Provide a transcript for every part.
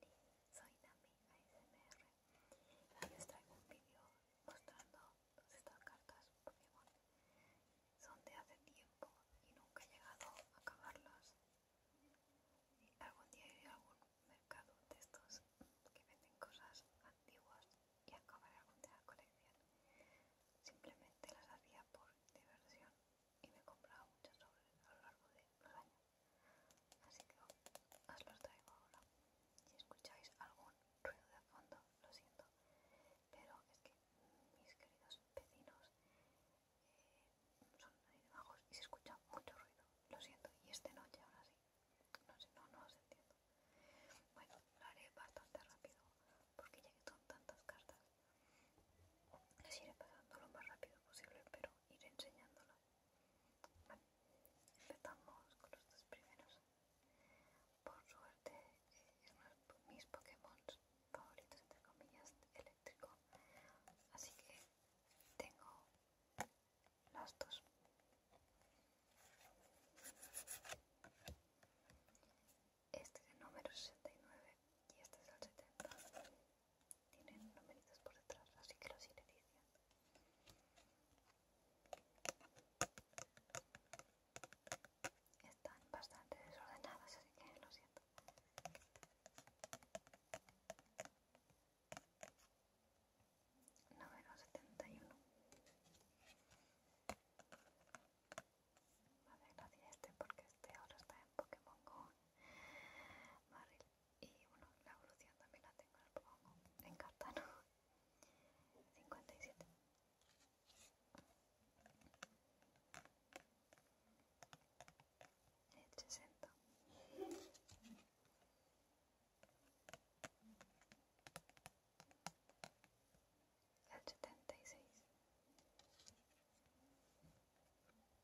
soy Nami ASMR y traigo un vídeo mostrando estas cartas Pokémon. Son de hace tiempo y nunca he llegado a acabarlas. algún día iré a algún mercado de estos que venden cosas antiguas y acabaré algún de la colección. Simplemente las hacía por diversión y me comprado muchos sobre a lo largo de los años. Así que os los traigo ahora. Si escucháis algún ruido de fondo, lo siento. Pero es que mis queridos vecinos eh, son ahí bajos y se escucha mucho ruido. Lo siento. Y esta noche ahora sí. No sé, no, no os entiendo. Bueno, lo haré bastante rápido porque ya que son tantas cartas, les iré pasando lo más rápido posible, pero iré enseñándolas. Vale, empezamos con los dos primeros. Por suerte, eh, es uno de mis Pokémon favoritos, entre comillas, eléctrico. Así que tengo las dos. Este es el número 69 y este es el 70 tienen numeritos por detrás, así que los iré Están bastante desordenadas, así que lo siento. Número 71. Me hace este porque este ahora está en Pokémon Go y bueno, la evolución también la tengo en cartano 57 60 el 76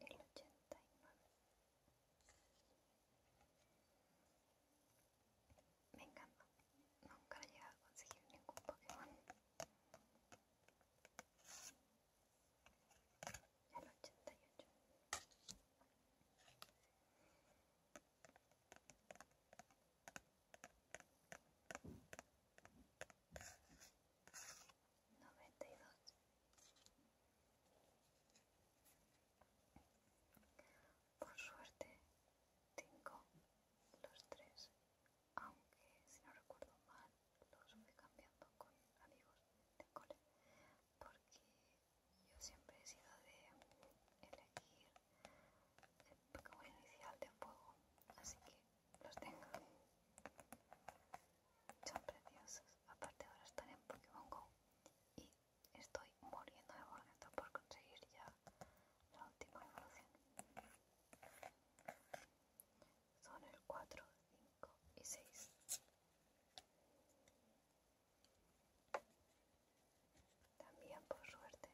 el ochenta Me encanta, nunca he llegado a conseguir ningún Pokémon. El 92 por suerte tengo los tres aunque si no recuerdo mal los fui cambiando con amigos de cole porque yo siempre he sido de elegir el Pokémon inicial de juego, así que los tengo son preciosos. Aparte ahora están en Pokémon Go y estoy muriendo de boleto por conseguir ya la última evolución. Son el 4, 5 y 6. También por suerte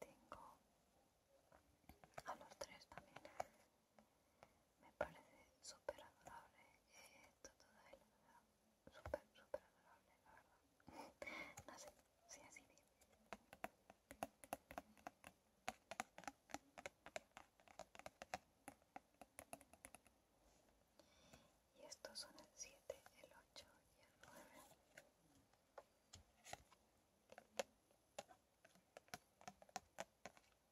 tengo a los 3 también me parece super adorable eh, esto, toda súper, súper adorable, la no sé si sí, así bien. Y estos son el 7, el 8 y el 9.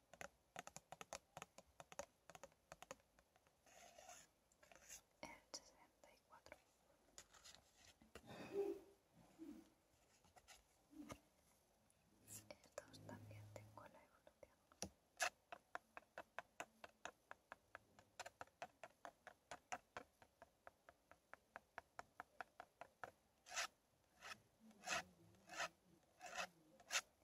el 64 estos también tengo la evolución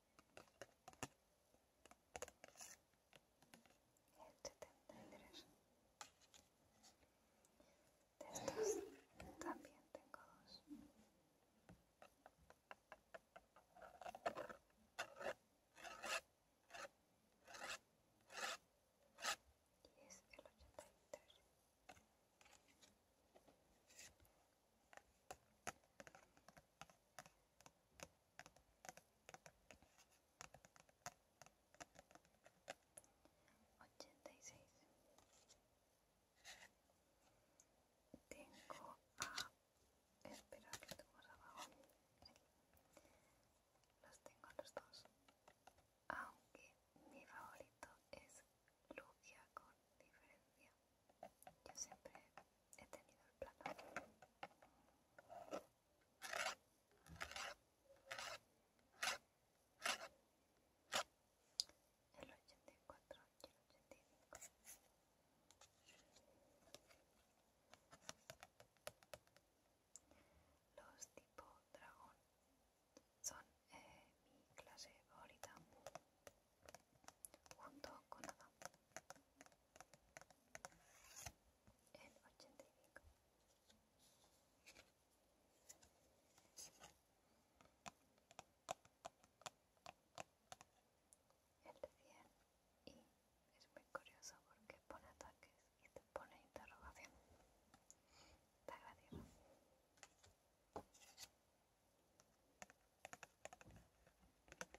Este el 73 estos también tengo dos y el 83 86 Tengo a... Espera, que tengo abajo. Los tengo los dos. Aunque mi favorito es Lugia con diferencia. Yo siempre he tenido el plato. El 84 y el 85. Los tipo dragón son eh, mi clase favorita junto con Adam. El ochenta y El de 100 y es muy curioso porque pone ataques y te pone interrogación. Está gracioso al 105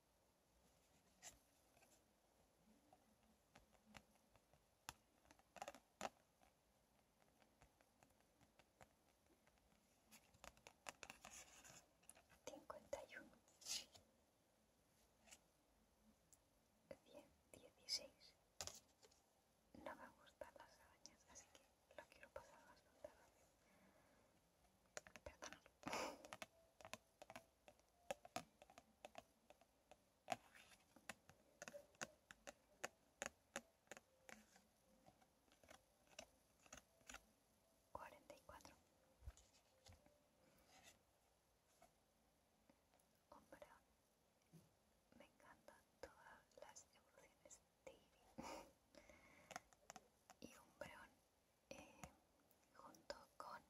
¿51? ¿100? ¿16? No me gustan las arañas así que lo quiero pasar bastante rápido, perdonad cuarenta y cuatro Hombre, me encantan todas las evoluciones de Eevee y Umbreon eh, junto con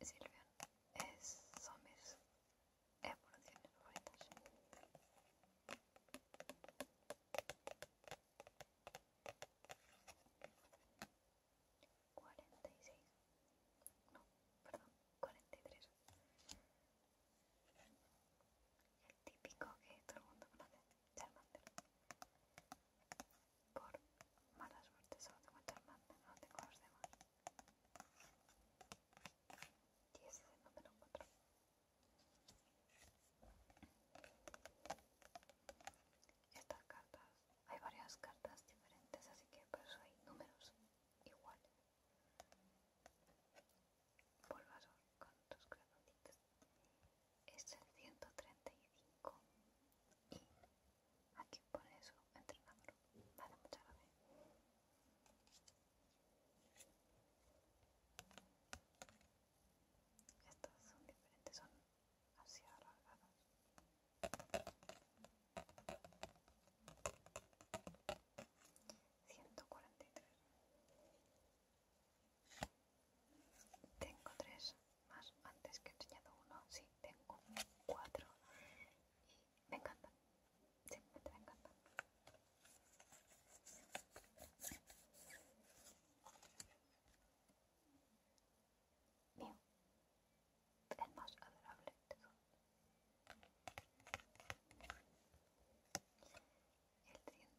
Silvian es, Somes mis evoluciones eh, favoritas. Cuarenta y seis, no, perdón, cuarenta y tres. El típico que todo el mundo conoce, Charmander por mala suerte solo tengo a no tengo a los demás. Y ese es el número 4. Estas cartas, hay varias cartas diferentes, así que por eso hay números iguales. Volvasor con tus granaditas. Es el 135 y Aquí por eso, entrenador. Vale, muchas gracias. Estas son diferentes, son así alargadas. Ciento cuarenta y tres. Tengo tres más antes que he enseñado uno, sí, tengo cuatro y me encantan, simplemente me encantan. Mío, el más adorable de todos. El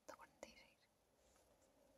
146.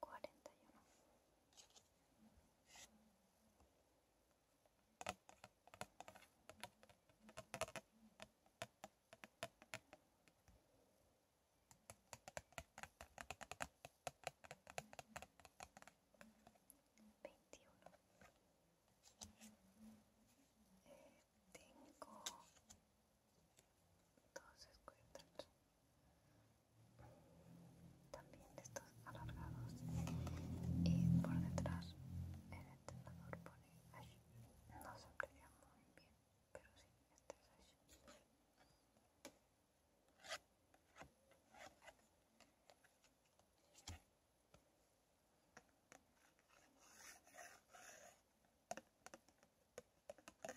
cuarenta y uno veintiuno eh, tengo dos escuetas, también de estos alargados y por detrás el entrenador pone así, no se aprecia muy bien pero sí, este es pues, 30 31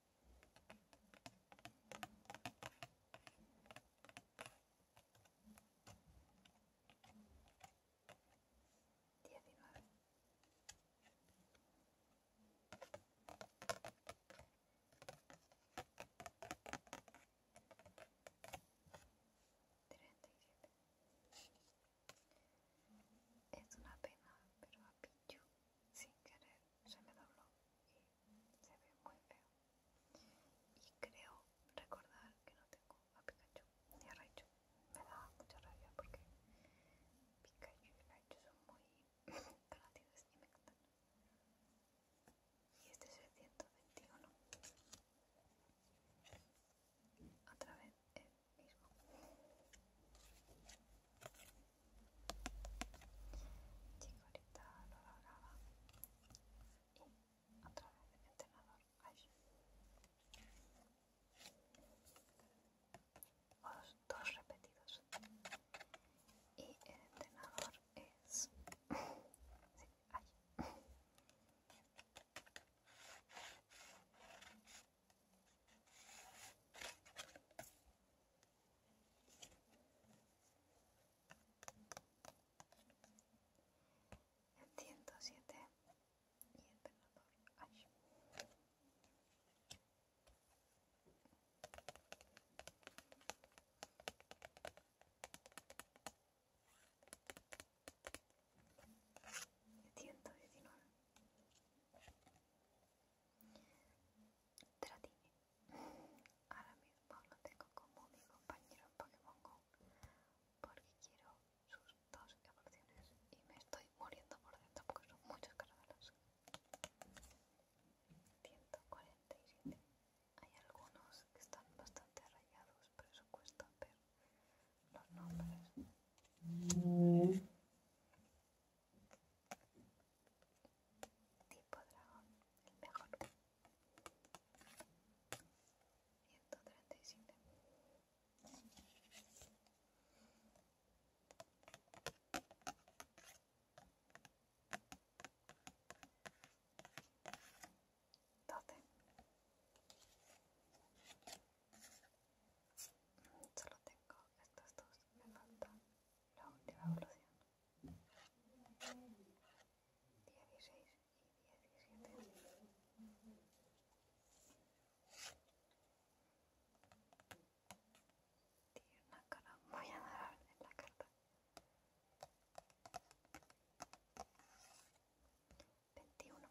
19. 37. Es una pena, pero ha pillado sin querer se me dobló y se ve muy feo. Y creo recordar que no tengo a Pikachu ni a Raichu. Me da mucha rabia porque Pikachu y Raichu son muy conocidos y me encantan. Y este es el 121. Otra vez el mismo. Chico, ahorita no Y otra vez entrenador. Ay. Los dos repetidos. Y el entrenador es. sí, ay el 107 y el penador Ash. El 119 Ahora mismo lo tengo como mi compañero Pokémon GO porque quiero sus dos evoluciones y me estoy muriendo por dentro porque son muchos cargadores. 147. Hay algunos que están bastante rayados, por eso cuesta ver los nombres tipo dragón, el mejor. 137. Doce. Solo tengo estos dos, me faltan la última evolución. Dieciséis y diecisiete. Tiene una cara muy adorable en la carta. Veintiuno.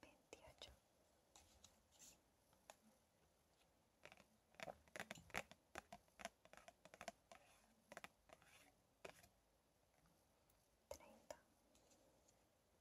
Veintiocho. Treinta.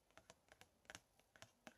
cuarenta sesenta y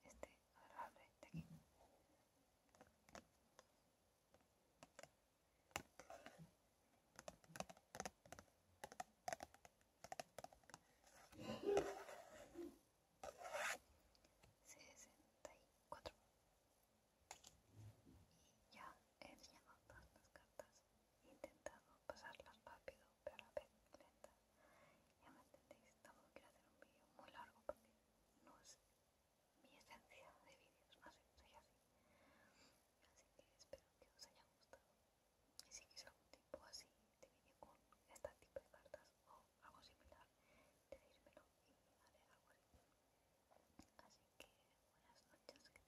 es este agarrable de aquí sesenta y ya he llenado todas las cartas intentando pasarlas rápido pero a la vez lenta. Ya me entendéis, tampoco quiero hacer un vídeo muy largo porque no es mi esencia de vídeos, soy así. Así que espero que os haya gustado. Y si queréis algún tipo así de vídeo con este tipo de cartas o algo similar, decídmelo y haré algo así. Así que buenas noches, que tengáis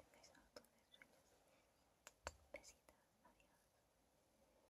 auto de sueños. besitos adiós.